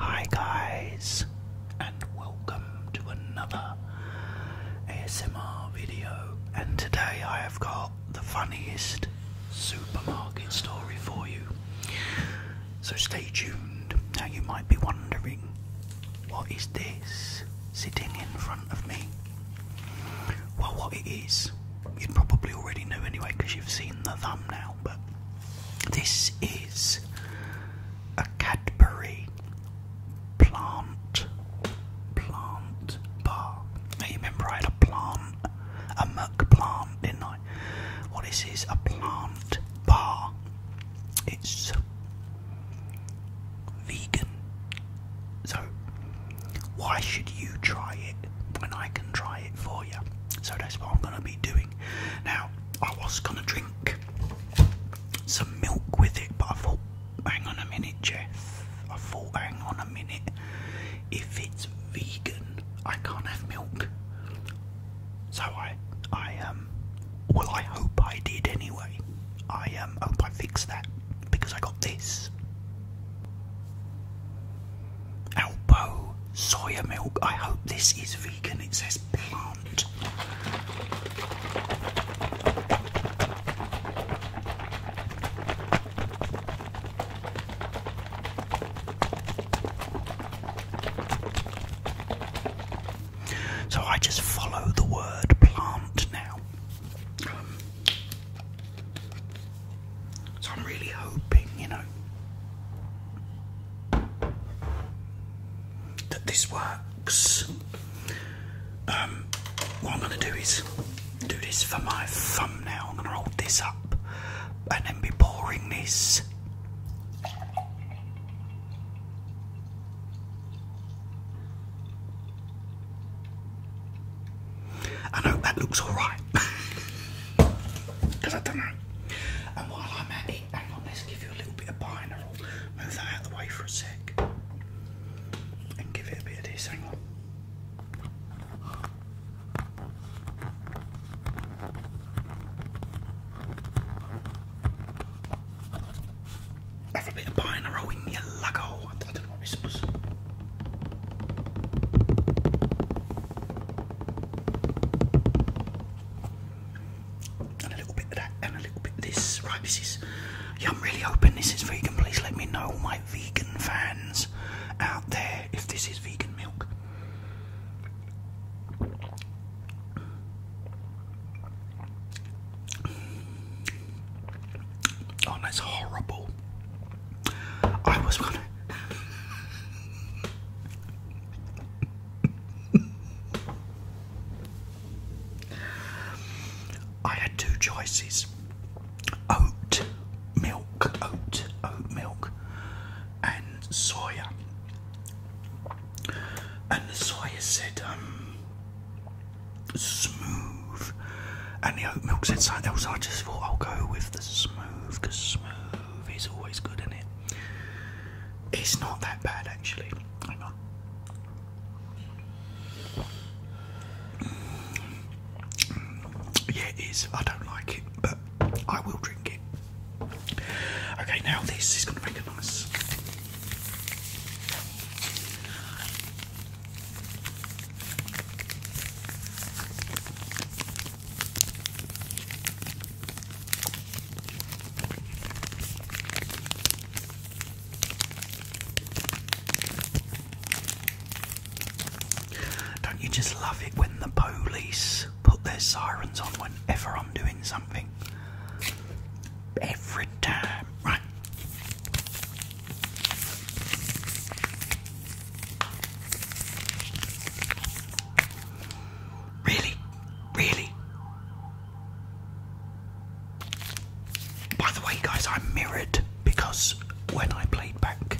Hi, guys, and welcome to another ASMR video. And today I have got the funniest supermarket story for you. So stay tuned. Now you might be wondering, what is this sitting in front of me? Well, what it is, you you'd probably already know anyway because you've seen the thumbnail, but this is a Cadbury plant plant bar. you remember I had a plant, a muck plant, didn't I? What this a plant bar. It's vegan. So why should you try it when I can try it for you? So that's what I'm gonna be doing. Now I was gonna drink some milk with it, but I thought hang on a minute, Jeff. I thought, hang on a minute. If it's vegan, I can't have milk. So I, I um, well, I hope I did anyway. I um, hope I fixed that because I got this. Alpo soya milk. I hope this is vegan. It says plant. So I just follow the word plant now. so I'm really hoping, you know, that this works um, what I'm going to do is do this for my thumbnail. I'm going to hold this up and then be pouring this. I know that looks alright. Because I don't know. And while I'm at it, hang on, let's give you a little bit of pine. move that out the way for a sec. And give it a bit of this. Hang on. That's bit of pie in a in your luggo. I don't know what this was. And a little bit of that, and a little bit of this. Right, this is yeah, I'm really hoping this is vegan. Please let me know, all my vegan fans out there, if this is vegan milk. Oh, that's horrible. I was gonna. I had two choices oat milk, oat, oat milk, and soya. And the soya said, um, smooth. And the oat milk said something else. I just thought I'll go with the smooth because smooth is always good in it. It's not that bad actually. Hang on. Yeah, it is. I don't like it, but I will drink it. Okay, now this is going to make a nice. Don't you just love it when the police put their sirens on whenever I'm doing something? Every time, right? Really? Really? By the way, guys, I'm mirrored because when I played back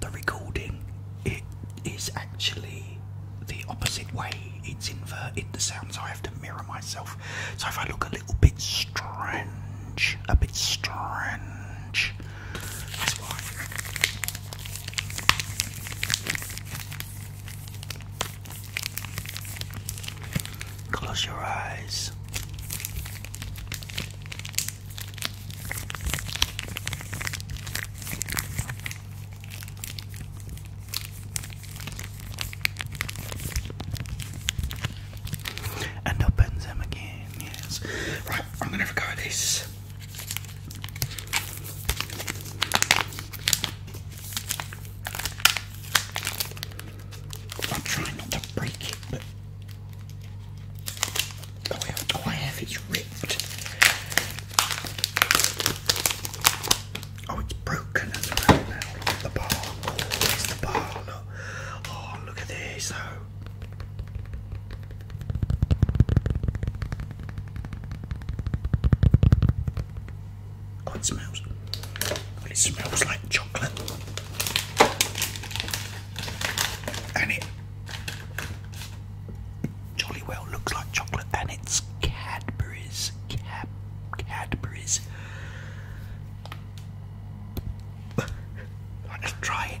the recording, it is actually the opposite way. It's inverted the sound, so I have to mirror myself. So if I look a little bit strange, a bit strange, that's why. Close your eyes. And open them again, yes. Right, I'm gonna record this. I'm trying not to break it, but oh, it's ripped. Oh, it's broken as well now. Look at the bar. Oh, there's the bar. Look. Oh, look at this. Oh. Oh, it smells it smells like chocolate. And it jolly well looks like chocolate and it's Cadbury's. Cad Cadbury's. Let's try it.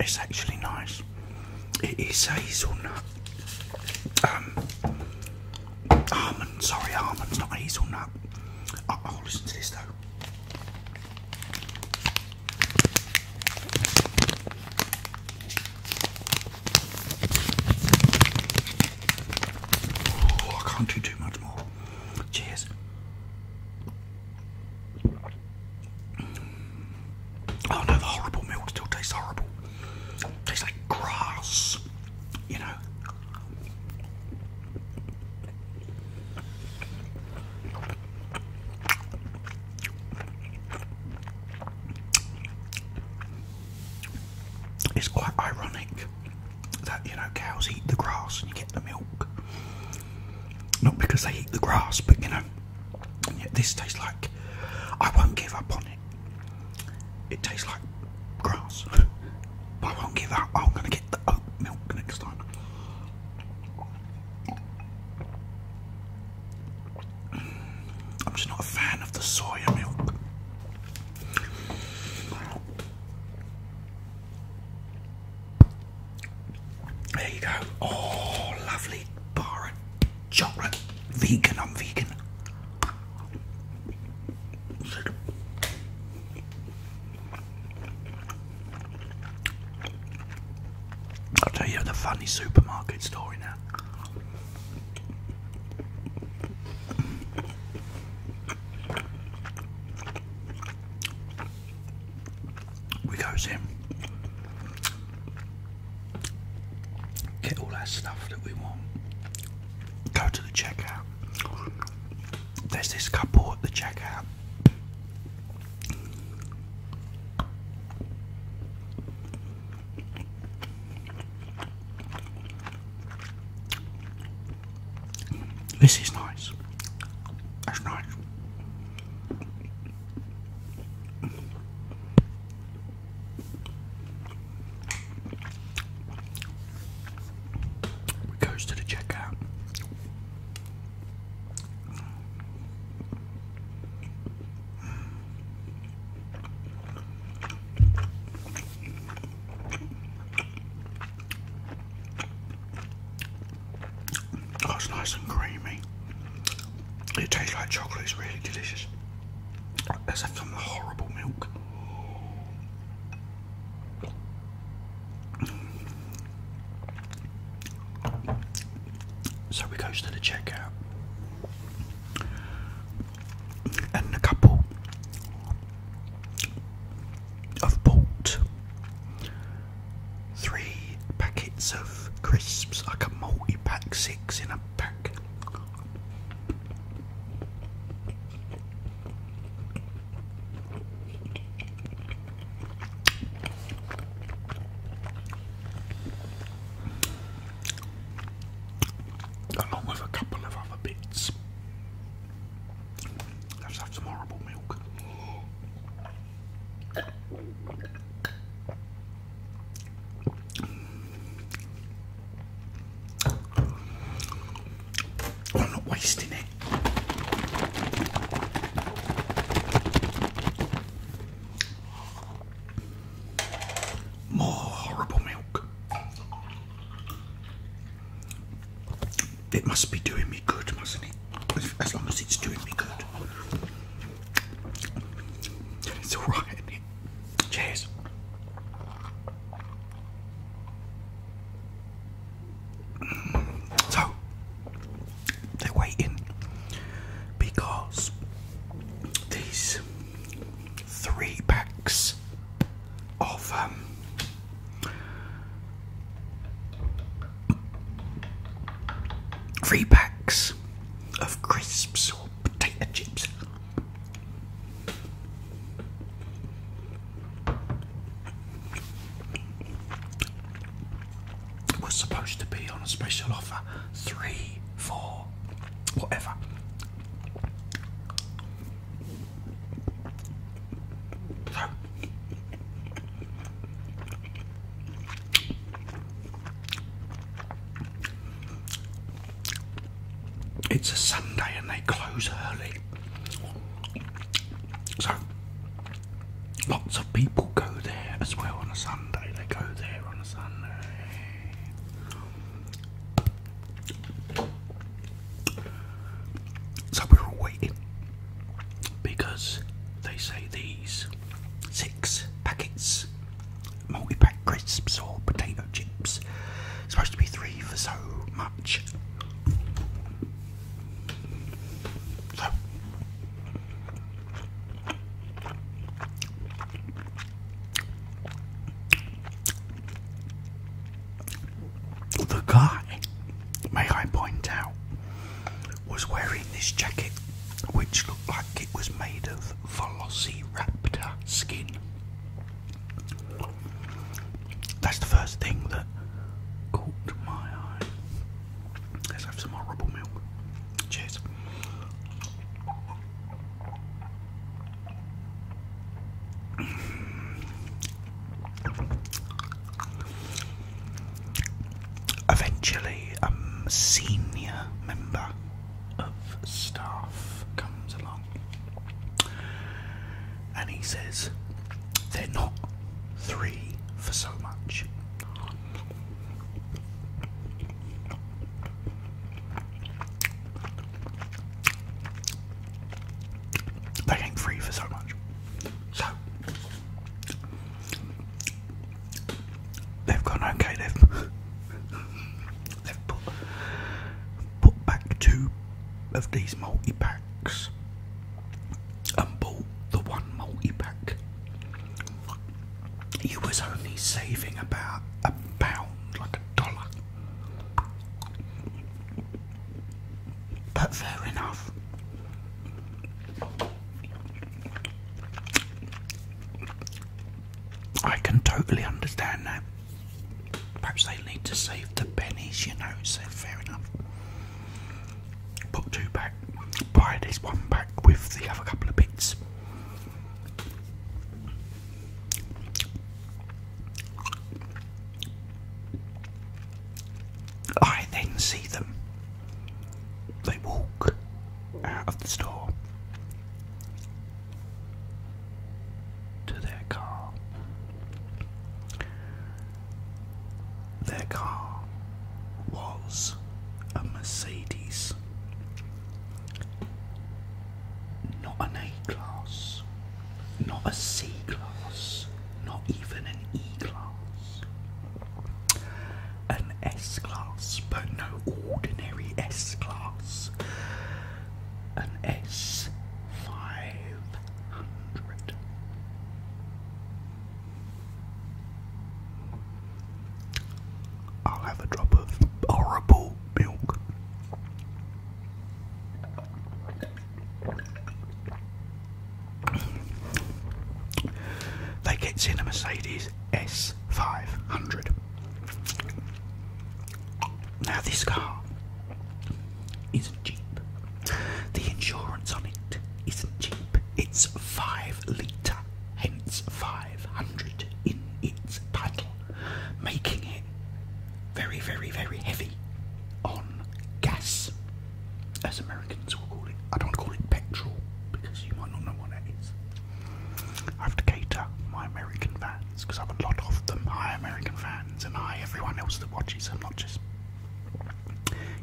It's actually nice. It is hazelnut. Um, almond, sorry, almond's not hazelnut. I'll listen to this though. Oh, I can't do too much more. Cheers. Oh no, the horrible milk still tastes horrible. Tastes like grass, you know. It's quite ironic that you know cows eat the grass and you get the milk. Not because they eat the grass, but you know, this tastes like I won't give up on it. It tastes like grass, but I won't give up. I'm going to get the oat milk next time. I'm just not a fan of the soya milk. There you go. Oh, lovely bar of chocolate. Vegan, I'm vegan. I'll tell you the funny supermarket story now we goes in, get all our stuff that we want, go to the checkout. There's this couple at the checkout. This is nice. That's nice. We goes to the checkout. Oh, it's nice and creamy. It tastes like chocolate, it's really delicious. As us have the horrible milk. So we goes to the checkout, and the couple of Bolt. Three packets of crisps, like a multi pack, six in a pack. Along with a couple of other bits. Let's have some horrible milk. I'm not wasting it. More horrible milk it must be doing me good, mustn't it? As long as it's doing me good, it's all Cheers. So they're waiting because these three packs of um, Three packs of crisps or potato chips. It was supposed to be on a special offer. Three, four, whatever. It's a Sunday and they close early. So lots of people go there as well on a Sunday. They go there on a Sunday. So we're waiting because they say these six packets multi-pack crisps or potato chips supposed to be three for so much so the guy, may I point out, was wearing this jacket which looked like it was made of velociraptor skin. That's the first thing that caught my eye. Let's have some horrible milk. Cheers. Eventually, a senior member of staff comes along and he says, They're not three for so much. They ain't free for so much. So They've gone okay. They've put back two of these multi packs and bought the one multi pack. You was only saving about a pound, like a dollar. But fair enough. I can totally understand that. Perhaps they need to save the pennies, you know, so fair enough. Put two back, buy this one back with the other couple of bits. I then see them. They walk out of the store to their car. Their car was a Mercedes, not an A class, not a C class not even an E-class. An S-class, but no ordinary S-class. An S500. I'll have a drop of horrible milk. They get in a Mercedes S500. Now, this car isn't cheap. The insurance on it isn't cheap. It's 5 litre, hence 500 in its title, making it very, very, very heavy on gas as Americans will call it. I don't want to call it petrol because you might not know what that is. I have to cater my American fans because I have a lot of them. Hi, American fans, and I, everyone else that watches. i not just.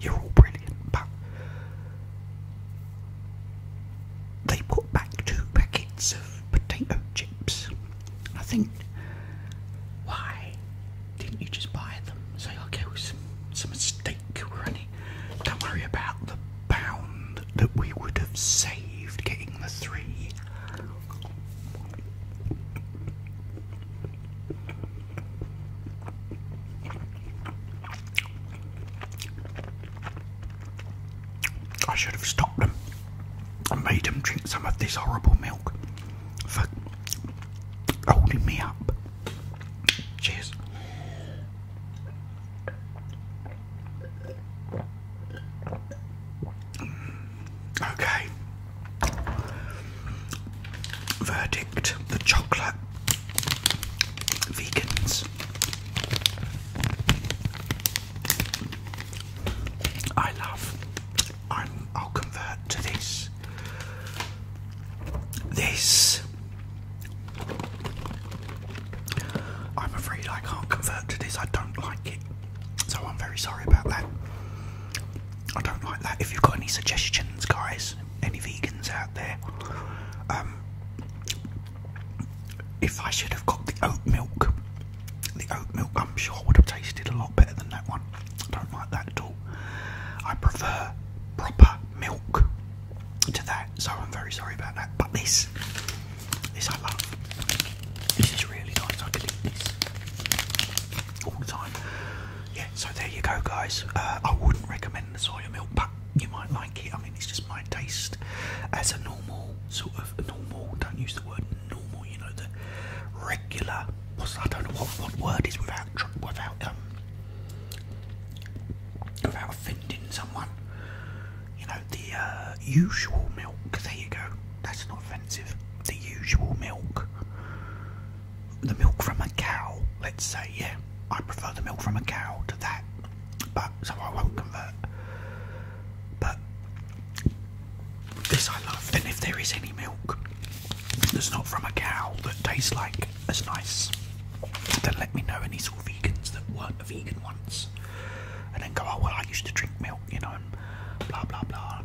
You're all brilliant, but. They put back two packets of potato chips. I think why didn't you just buy them? Say, okay, well, some, some mistake or Don't worry about the pound that we would have saved getting the three. I should have stopped them I made them drink some of this horrible milk for holding me up. Cheers. Okay. Verdict the chocolate vegans. I love. I'm, I'll convert to this this, I'm afraid I can't convert to this. I don't like it, so I'm very sorry about that. I don't like that. If you've got any suggestions, guys, any vegans out there, um, if I should have got the oat milk, the oat milk I'm sure would have tasted a lot better than that one. I don't like that at all. I prefer proper milk to that, so I'm very sorry about that. But this, this I love. This is really nice. I could eat this all the time. Yeah, so there you go, guys. Uh, I wouldn't recommend the soy milk, but you might like it. I mean, it's just my taste as a normal sort of normal. Don't use the word normal. You know the regular I don't know what, what word is without without um without offending someone. You know the uh, usual milk. There you go. That's not offensive. The usual milk. The milk from a cow. Let's say yeah. I prefer the milk from a cow to that, but so I won't convert. But this I love, and if there is any milk that's not from a cow that tastes like as nice, then let me know any sort of vegans that weren't a vegan once, and then go, oh well, I used to drink milk, you know, blah blah blah.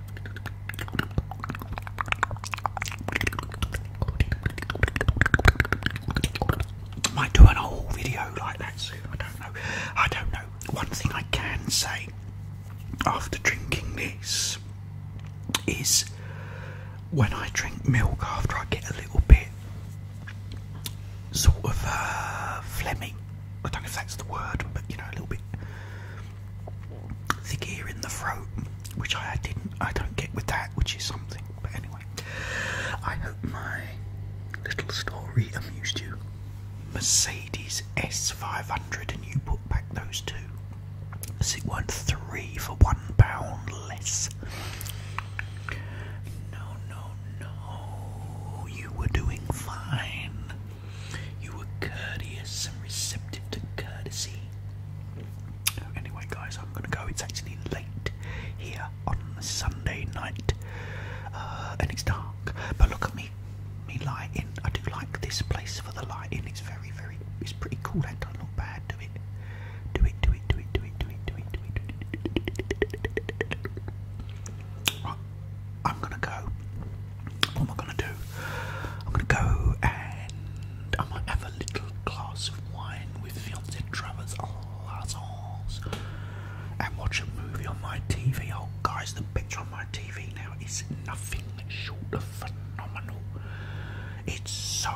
Might do an whole video like that soon. I don't know. I don't know. One thing I can say after drinking this is when I drink milk after I get a little bit sort of uh, phlegmy. I don't know if that's the word, but you know, a little bit thick ear in the throat, which I didn't, I don't get with that, which is something. But anyway, I hope my little story amused you. Mercedes S500, and you put back those two. It weren't three for one pound less. No, no, no. You were doing fine. You were courteous and receptive to courtesy. Anyway, guys, I'm gonna go. It's actually late here on Sunday night, uh, and it's dark. But look at me me lighting. I do like this place for the lighting. It's very, very. It's pretty cool. That don't look bad. Do it. Do it. Do it. Do it. Do it. Do it. Do it. Do it. Do it. Right. I'm gonna go. What am I gonna do? I'm gonna go and I might have a little glass of wine with fiance Trevor's Lazos and watch a movie on my TV. Oh, guys, the picture on my TV now is nothing short phenomenal. It's so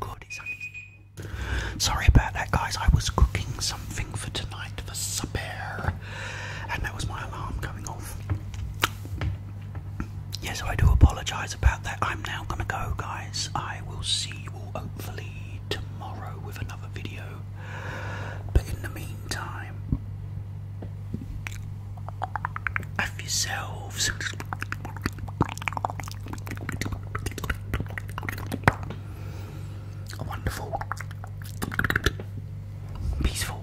good. It's only... Sorry about that, guys. I was cooking something for tonight for supper, and that was my alarm coming off. Yes, I do apologise about that. I'm now gonna go, guys. I will see you all hopefully tomorrow with another video. But in the meantime, of yourselves. A wonderful, peaceful,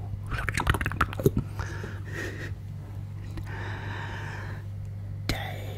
day.